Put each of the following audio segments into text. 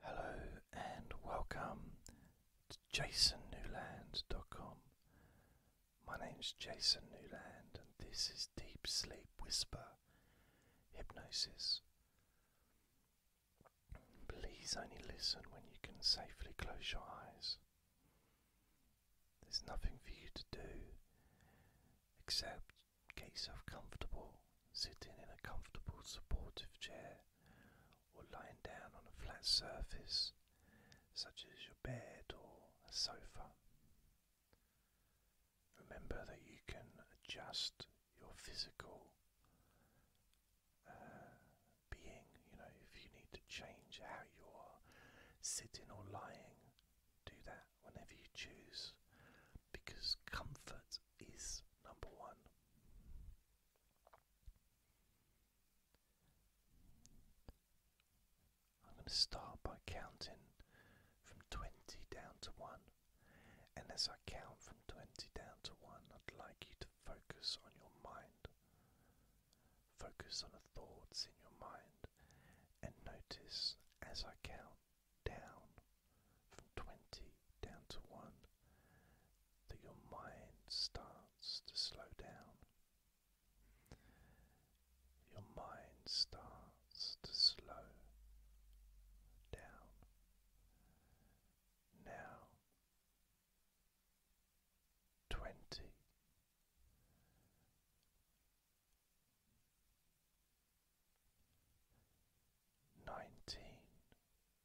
Hello and welcome to jasonnewland.com. My name's Jason Newland and this is Deep Sleep Whisper Hypnosis. Please only listen when you can safely close your eyes. There's nothing for you to do except get yourself comfortable sitting in a comfortable supportive chair or lying down on a flat surface such as your bed or a sofa. Remember that you can adjust your physical uh, being, you know, if you need to change how you are sitting or lying, do that whenever you choose because comfort is number one. I'm going to start by counting from 20 down to 1. And as I count from 20 down to 1, I'd like you to focus on your mind. Focus on the thoughts in your mind and notice as I count down from 20 down to 1 that your mind starts to slow down. Your mind starts to slow down. Now, 20.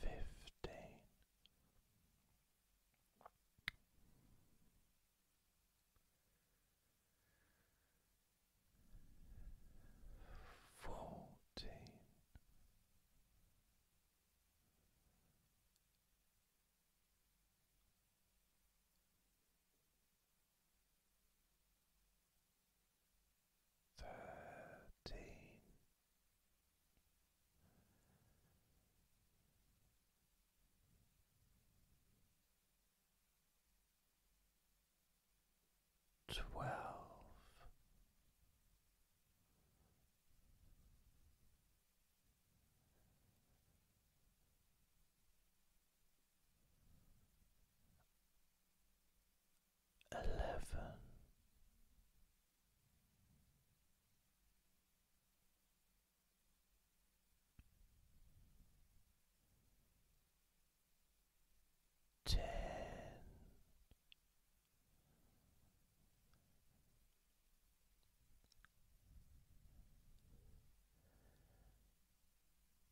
fifteen. Fourteen, thirteen twelve eleven. Ten,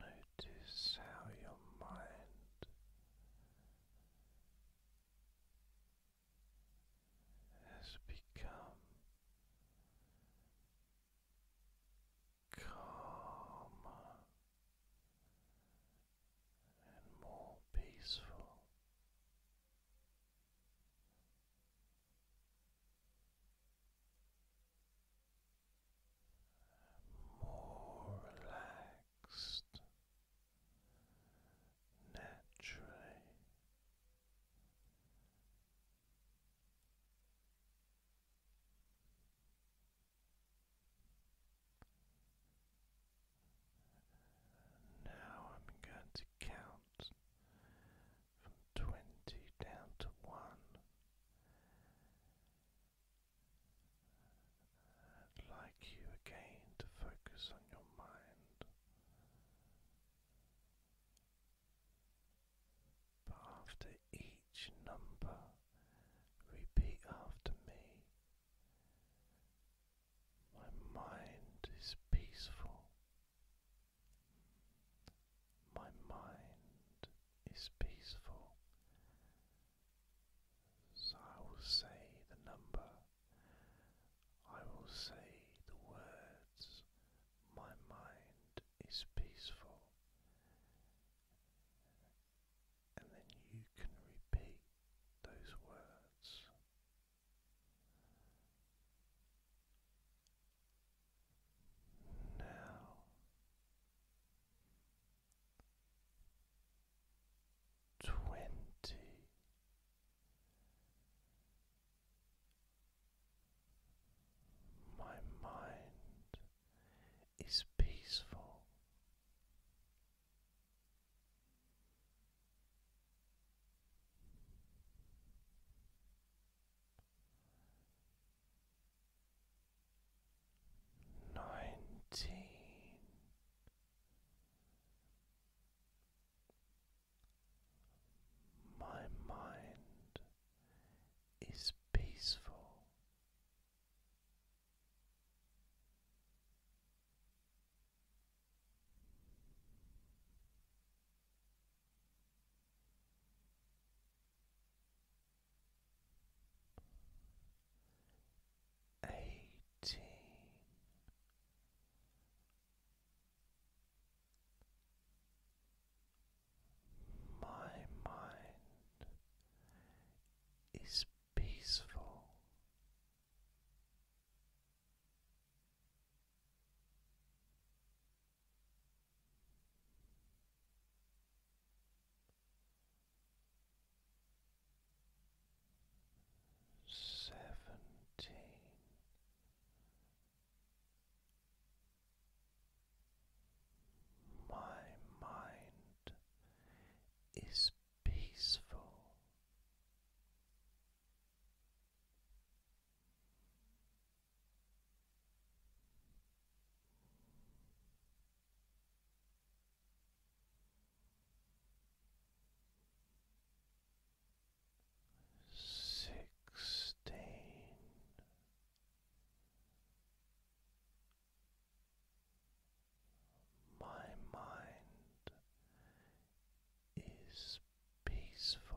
Notice how your mind has become calmer and more peaceful more relaxed naturally. Now I'm going to count from twenty down to one, I'd like you again to focus on your mind. But after each number, repeat after me. My mind is peaceful. My mind is peaceful. So I will say the number, I will say the words, my mind is peaceful, and then you can repeat those words. Now twenty my mind is peaceful nineteen my mind is peaceful eighteen. My mind is peaceful seventeen. My mind is peaceful sixteen. My mind is peaceful.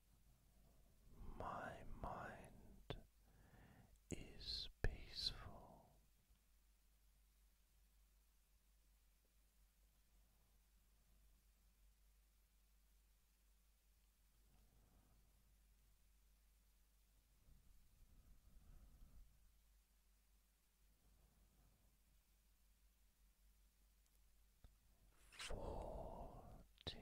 My mind is peaceful. Fourteen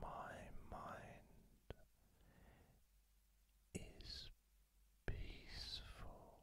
my mind is peaceful.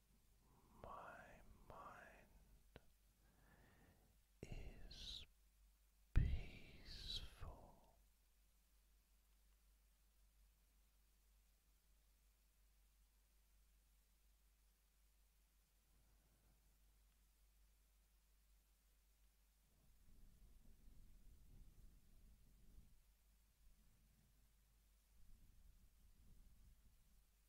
my mind is peaceful.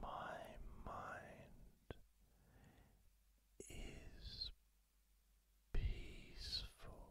my mind is peaceful.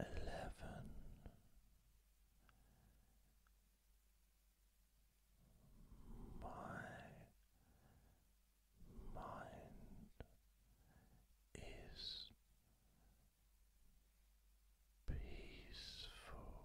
eleven my mind is peaceful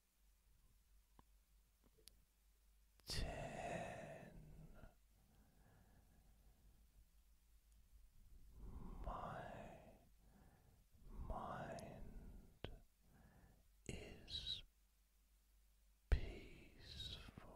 ten my mind is peaceful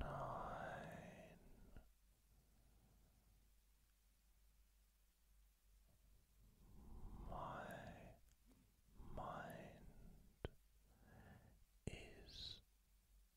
Nine. My mind is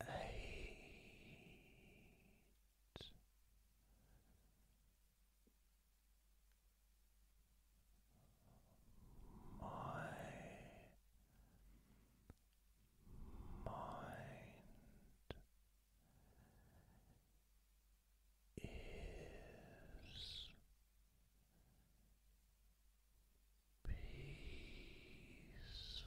Eight. My mind is peaceful.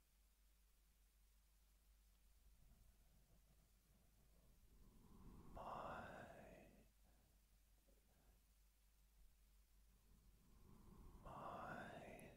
my mind. Is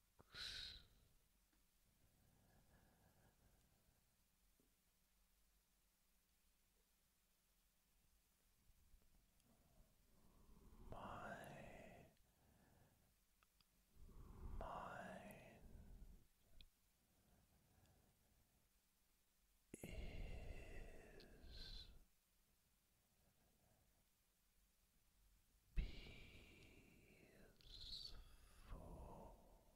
my mind is peaceful.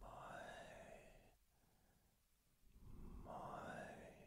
My mind is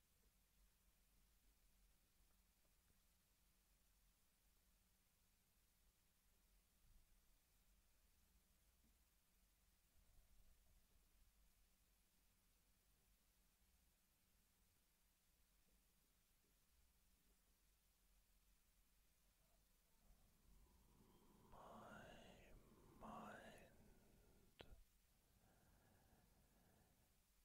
My mind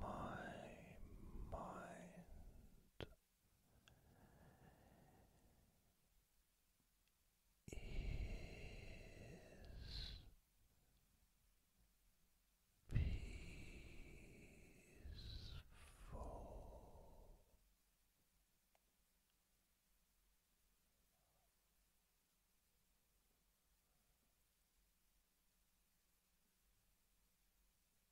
My mind is peaceful.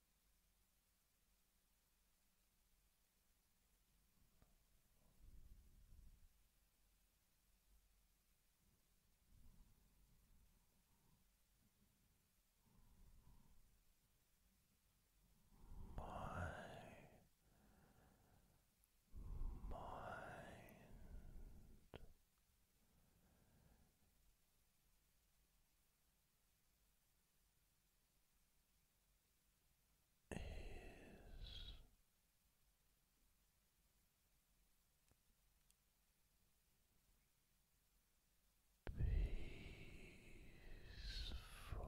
My mind is peaceful.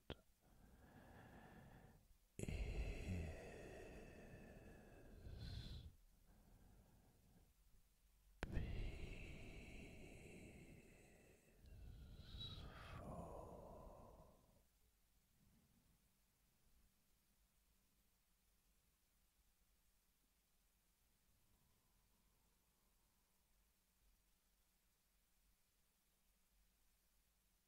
is peaceful.